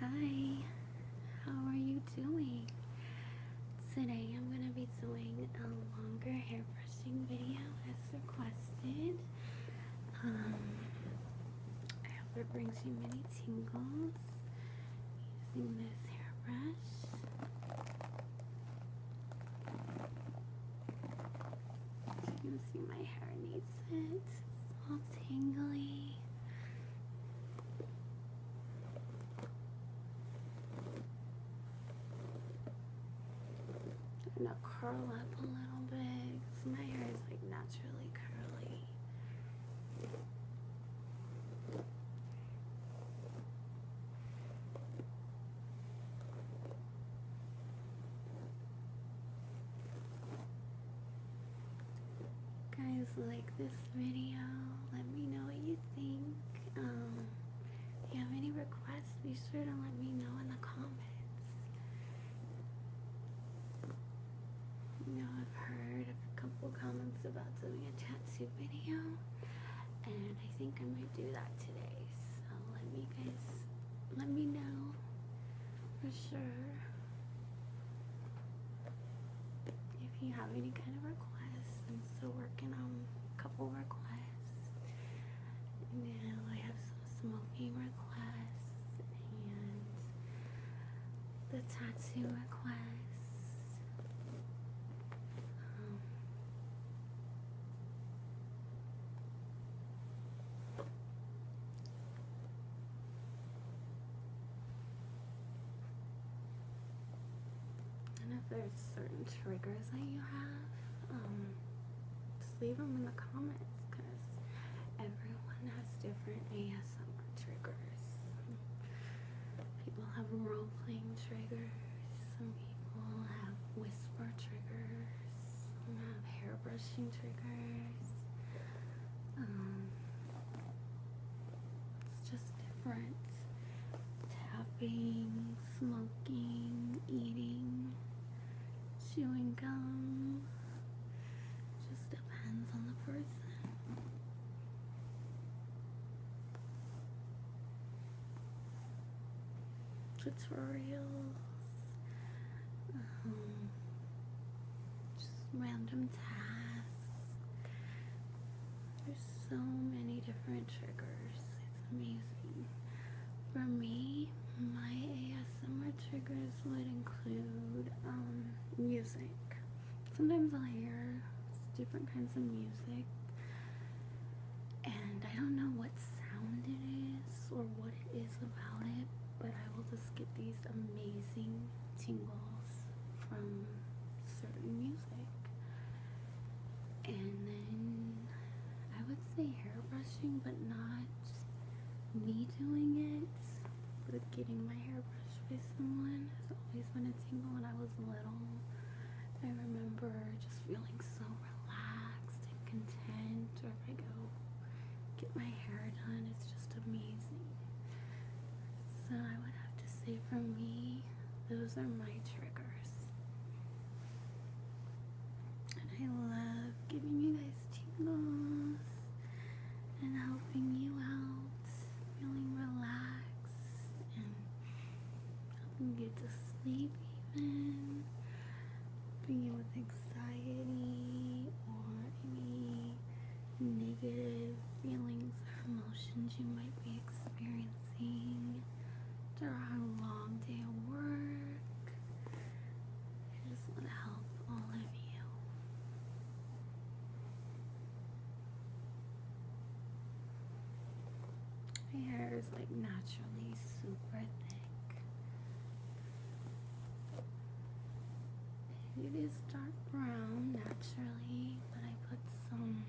Hi, how are you doing? Today I'm going to be doing a longer hair brushing video as requested. Um, I hope it brings you many tingles using this hairbrush. You can see my hair needs it's all tingly. i gonna curl up a little bit because my hair is like naturally curly guys like this video let me know what you think um, if you have any requests be sure to let me know in the comments you know I've heard a couple comments about doing a tattoo video and I think I might do that today so let me guys let me know for sure if you have any kind of requests. I'm still working on a couple requests. Now I have some smoking requests and the tattoo requests. Um, and if there's certain triggers that you have, um, just leave them in the comments because everyone has different ASMR triggers. People have role playing triggers people have whisper triggers, have hair brushing triggers. Um, it's just different. Tapping, smoking, eating, chewing gum. Just depends on the person tutorials, um, just random tasks. There's so many different triggers. It's amazing. For me, my ASMR triggers would include um, music. Sometimes I'll hear different kinds of music. And I don't know what sound it is or what it is about it, but I will just get these amazing tingles from certain music. And then I would say hair brushing, but not me doing it, but getting my hair brushed crush with someone has always been a tingle when I was little. I remember just feeling so relaxed and content Or if I go get my hair done. It's just amazing. So I would have to say for me, those are my triggers. And I love giving you guys tingles and helping you out feeling relaxed and helping get to sleep even being with anxiety or any negative feelings or emotions you might be experiencing during a long day of work. I just want to help all of you. My hair is like naturally super thick. It is dark brown naturally, but I put some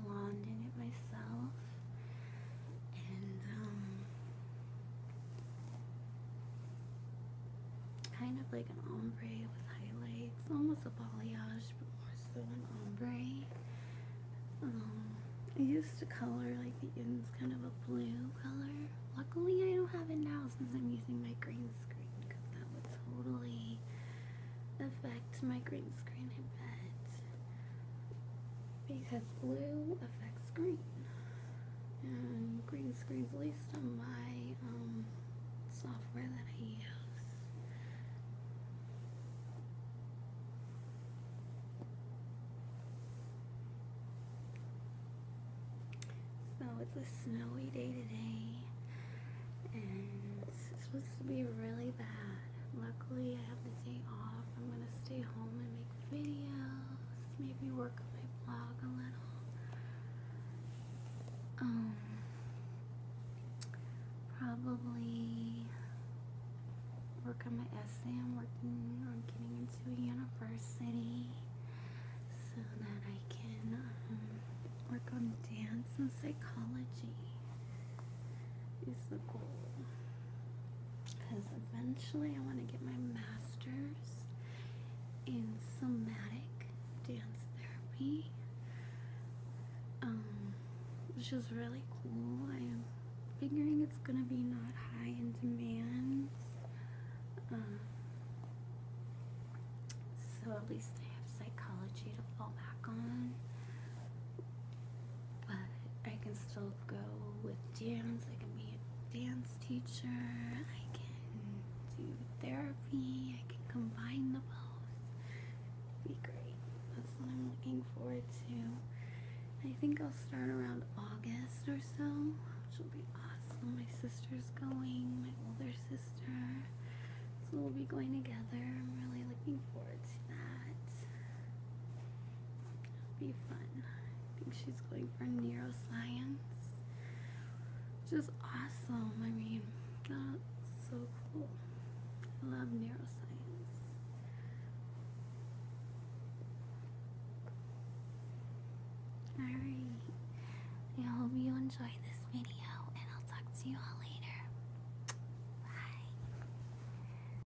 blonde in it myself. And um kind of like an ombre with highlights, almost a balayage, but more so an ombre. Um, I used to color like the ends kind of a blue color. Luckily, I don't have it now since I'm using my green screen because that would totally affect my green screen, I bet. Because blue affects green and green screens, least on my um, software that I use. So it's a snowy day today, and it's supposed to be really bad. Luckily, I have the day off. I'm gonna stay home and make videos, maybe work on my blog a little. Um, probably work on my essay. I'm working on getting into a university so that I can um, work on dance and psychology is the goal because eventually I want to get my master's in somatic dance therapy. Um, which is really cool. I am figuring it's gonna be not high in demand. Um, so at least I have psychology to fall back on. But I can still go with dance. I can be a dance teacher, I can do therapy, I can combine the both. Be great. That's what I'm looking forward to. I think I'll start around August or so, which will be awesome. My sister's going, my older sister. So we'll be going together. I'm really looking forward to that. be fun. I think she's going for neuroscience. Which is awesome. I mean, that's so cool. I love neuroscience. Alright. I hope you enjoyed this video and I'll talk to you all later. Bye.